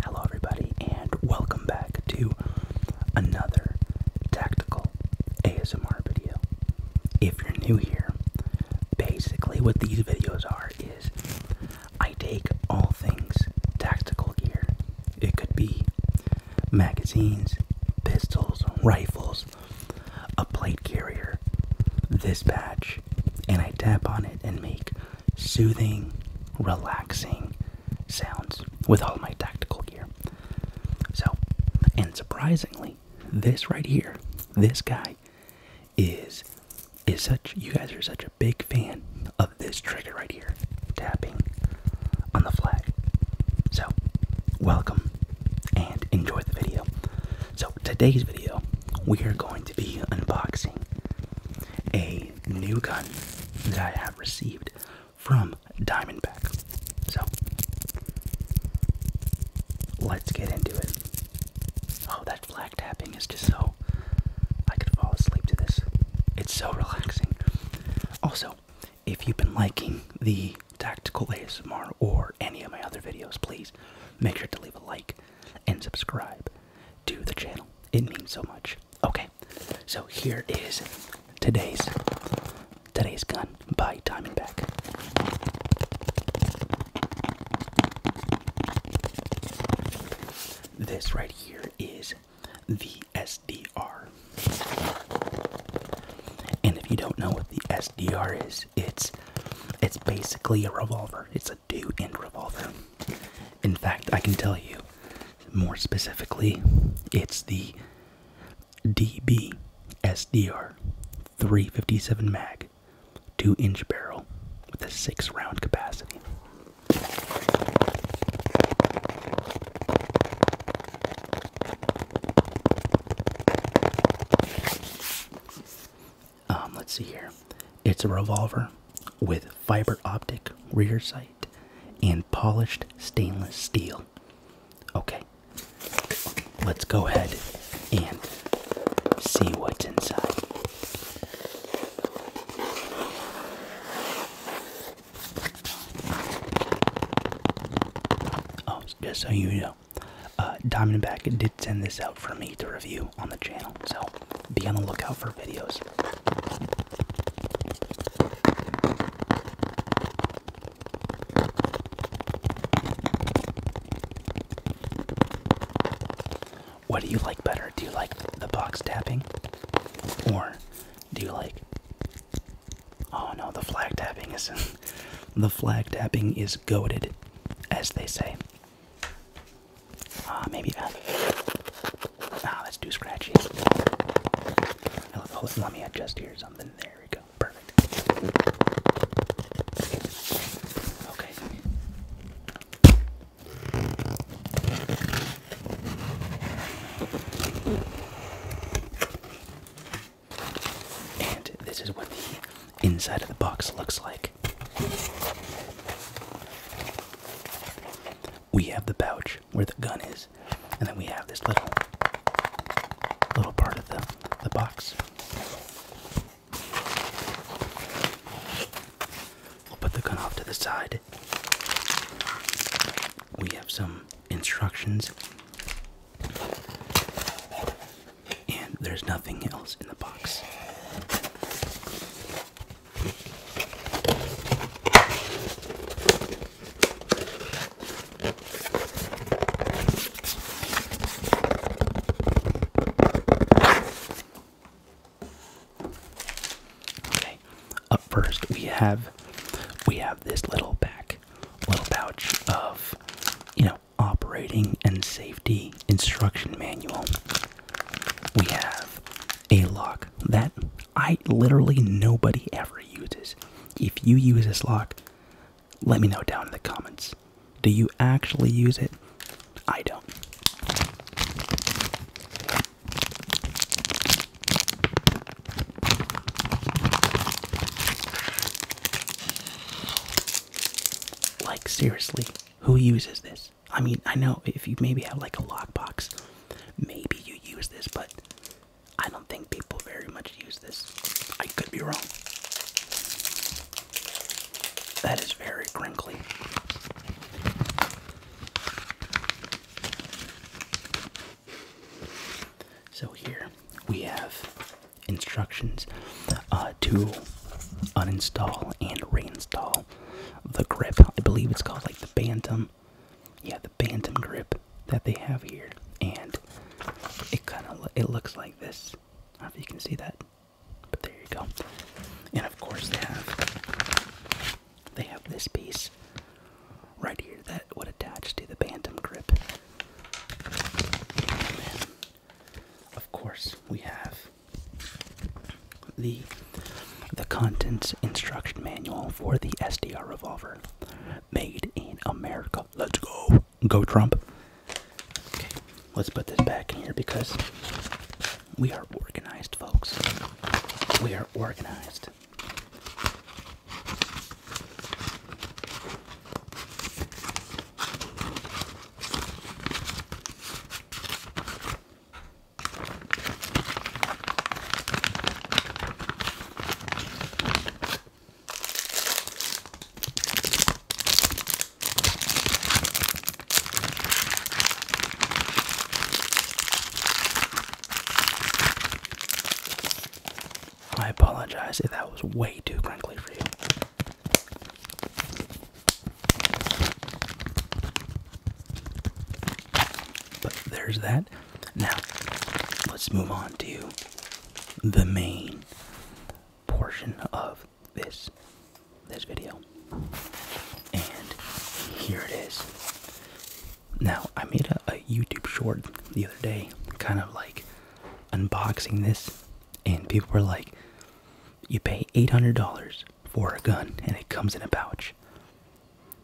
Hello, everybody, and welcome back to another tactical ASMR video. If you're new here, basically what these videos are is I take all things tactical gear. It could be magazines, pistols, rifles, a plate carrier, this patch, and I tap on it and make soothing, relaxing sounds with all my tactical gear. So, and surprisingly, this right here, this guy is is such you guys are such a big fan of this trigger right here, tapping on the flag. So, welcome and enjoy the video. So, today's video, we are going to be unboxing a new gun that I have received from Diamondback. So, let's get into it. Oh, that flag tapping is just so. I could fall asleep to this. It's so relaxing. Also, if you've been liking the Tactical ASMR or any of my other videos, please make sure to leave a like and subscribe to the channel. It means so much. Okay, so here is today's today's gun by Diamondback. This right here is the SDR. And if you don't know what the SDR is, it's it's basically a revolver. It's a two-end revolver. In fact, I can tell you more specifically, it's the DBSDR 357 mag 2 inch barrel with a 6 round capacity. Um, let's see here. It's a revolver with fiber optic rear sight and polished stainless steel. Okay, let's go ahead and see what's inside. Oh, just so you know, uh, Diamondback did send this out for me to review on the channel, so be on the lookout for videos. What do you like better? Do you like the box tapping? Or do you like Oh no, the flag tapping is the flag tapping is goaded, as they say. Uh, maybe that. Ah, oh, that's too scratchy. Let, let me adjust here something. There we go. Perfect. Okay. And this is what the inside of the box looks like. We have the pouch where the gun is, and then we have this little little part of the, the box. We'll put the gun off to the side. We have some instructions. And there's nothing else in the box. Okay, up first we have we have this little pack, little pouch of you know operating and safety instruction manual we have a lock that I literally nobody ever uses. If you use this lock, let me know down in the comments. Do you actually use it? I don't. Like, seriously, who uses this? I mean, I know if you maybe have like a lockbox, maybe you use this, but I don't think people very much use this. I could be wrong. That is very crinkly. So here we have instructions uh, to uninstall and reinstall the grip. I believe it's called like the Bantam. Yeah, the Bantam grip that they have here, and it kind of it looks like this. I don't know if you can see that, but there you go. And of course they have they have this piece right here that would attach to the Bantam grip. Of course, we have the the contents instruction manual for the SDR revolver, made in America. Let's go, go Trump. Okay, let's put this back in here because we are organized, folks. We are organized. I apologize if that was way too crinkly for you. But there's that. Now, let's move on to the main portion of this this video. And here it is. Now, I made a, a YouTube short the other day, kind of like unboxing this, and people were like, you pay $800 for a gun and it comes in a pouch.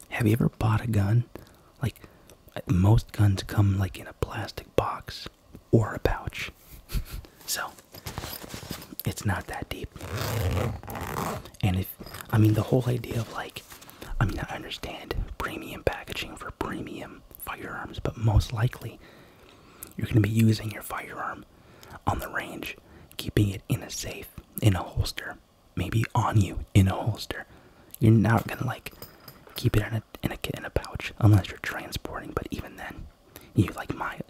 Have you ever bought a gun? Like, most guns come like in a plastic box or a pouch. so, it's not that deep. And if, I mean, the whole idea of like, I mean, I understand premium packaging for premium firearms, but most likely you're going to be using your firearm on the range, keeping it in a safe, in a holster, maybe on you in a holster. You're not gonna like keep it in a in a in a pouch unless you're transporting. But even then, you like might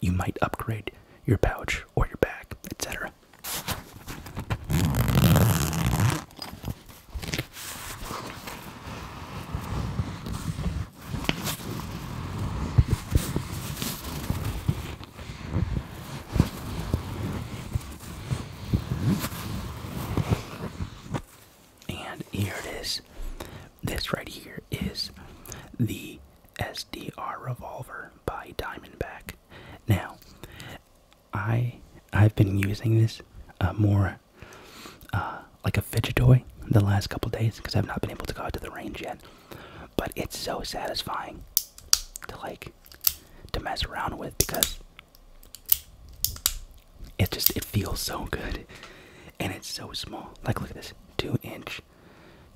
you might upgrade your pouch or your bag, etc. And here it is. This right here is the SDR revolver by Diamondback. Now, I I've been using this uh, more uh, like a fidget toy the last couple days because I've not been able to go out to the range yet. But it's so satisfying to like to mess around with because it just it feels so good and it's so small. Like look at this two inch,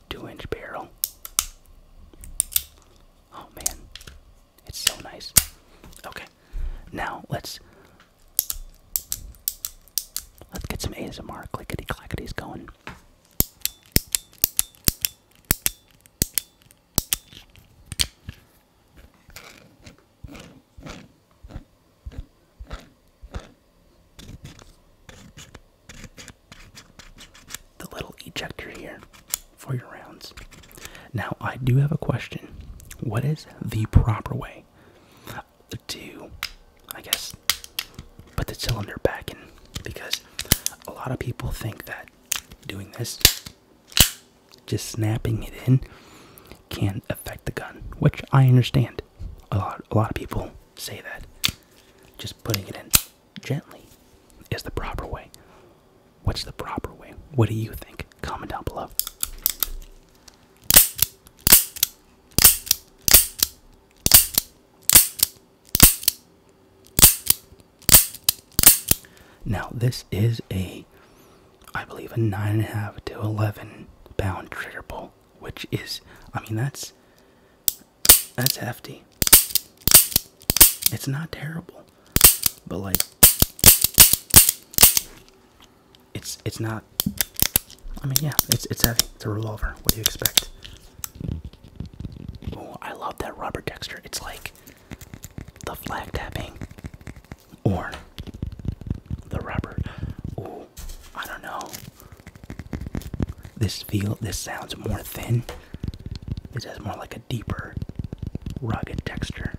two inch barrel. Oh man, it's so nice. Okay, now let's Let's get some ASMR clickety clackities going. The little ejector here for your rounds. Now, I do have a question. What is the proper way to, I guess, put the cylinder back in because a lot of people think that doing this, just snapping it in, can affect the gun, which I understand. A lot, a lot of people say that just putting it in gently is the proper way. What's the proper way? What do you think? Comment down below. Now, this is a, I believe, a 9.5 to 11 pound trigger pull, which is, I mean, that's, that's hefty. It's not terrible, but like, it's it's not. I mean, yeah, it's it's heavy. It's a revolver. What do you expect? Oh, I love that rubber texture. It's like the flag tapping or the rubber. Ooh, I don't know. This feel. This sounds more thin. This has more like a deeper, rugged texture.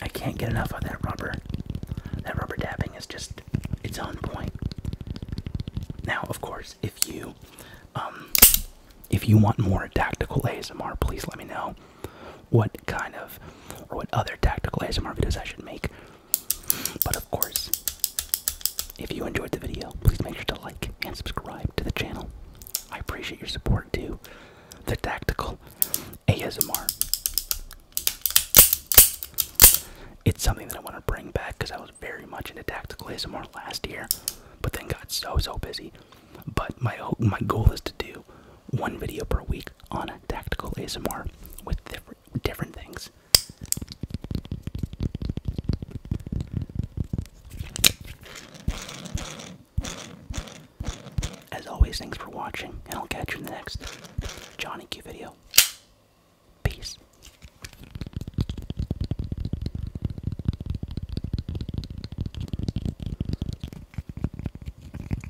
I can't get enough of that rubber. That rubber dabbing is just, it's on point. Now, of course, if you, um, if you want more tactical ASMR, please let me know what kind of or what other tactical ASMR videos I should make. But of course, if you enjoyed the video, please make sure to like and subscribe to the channel. I appreciate your support too. the tactical ASMR. It's something that I want to bring back because I was very much into tactical ASMR last year, but then got so so busy. But my my goal is to do one video per week on tactical ASMR with different different things. As always, thanks for watching, and I'll catch you in the next Johnny Q video. Peace.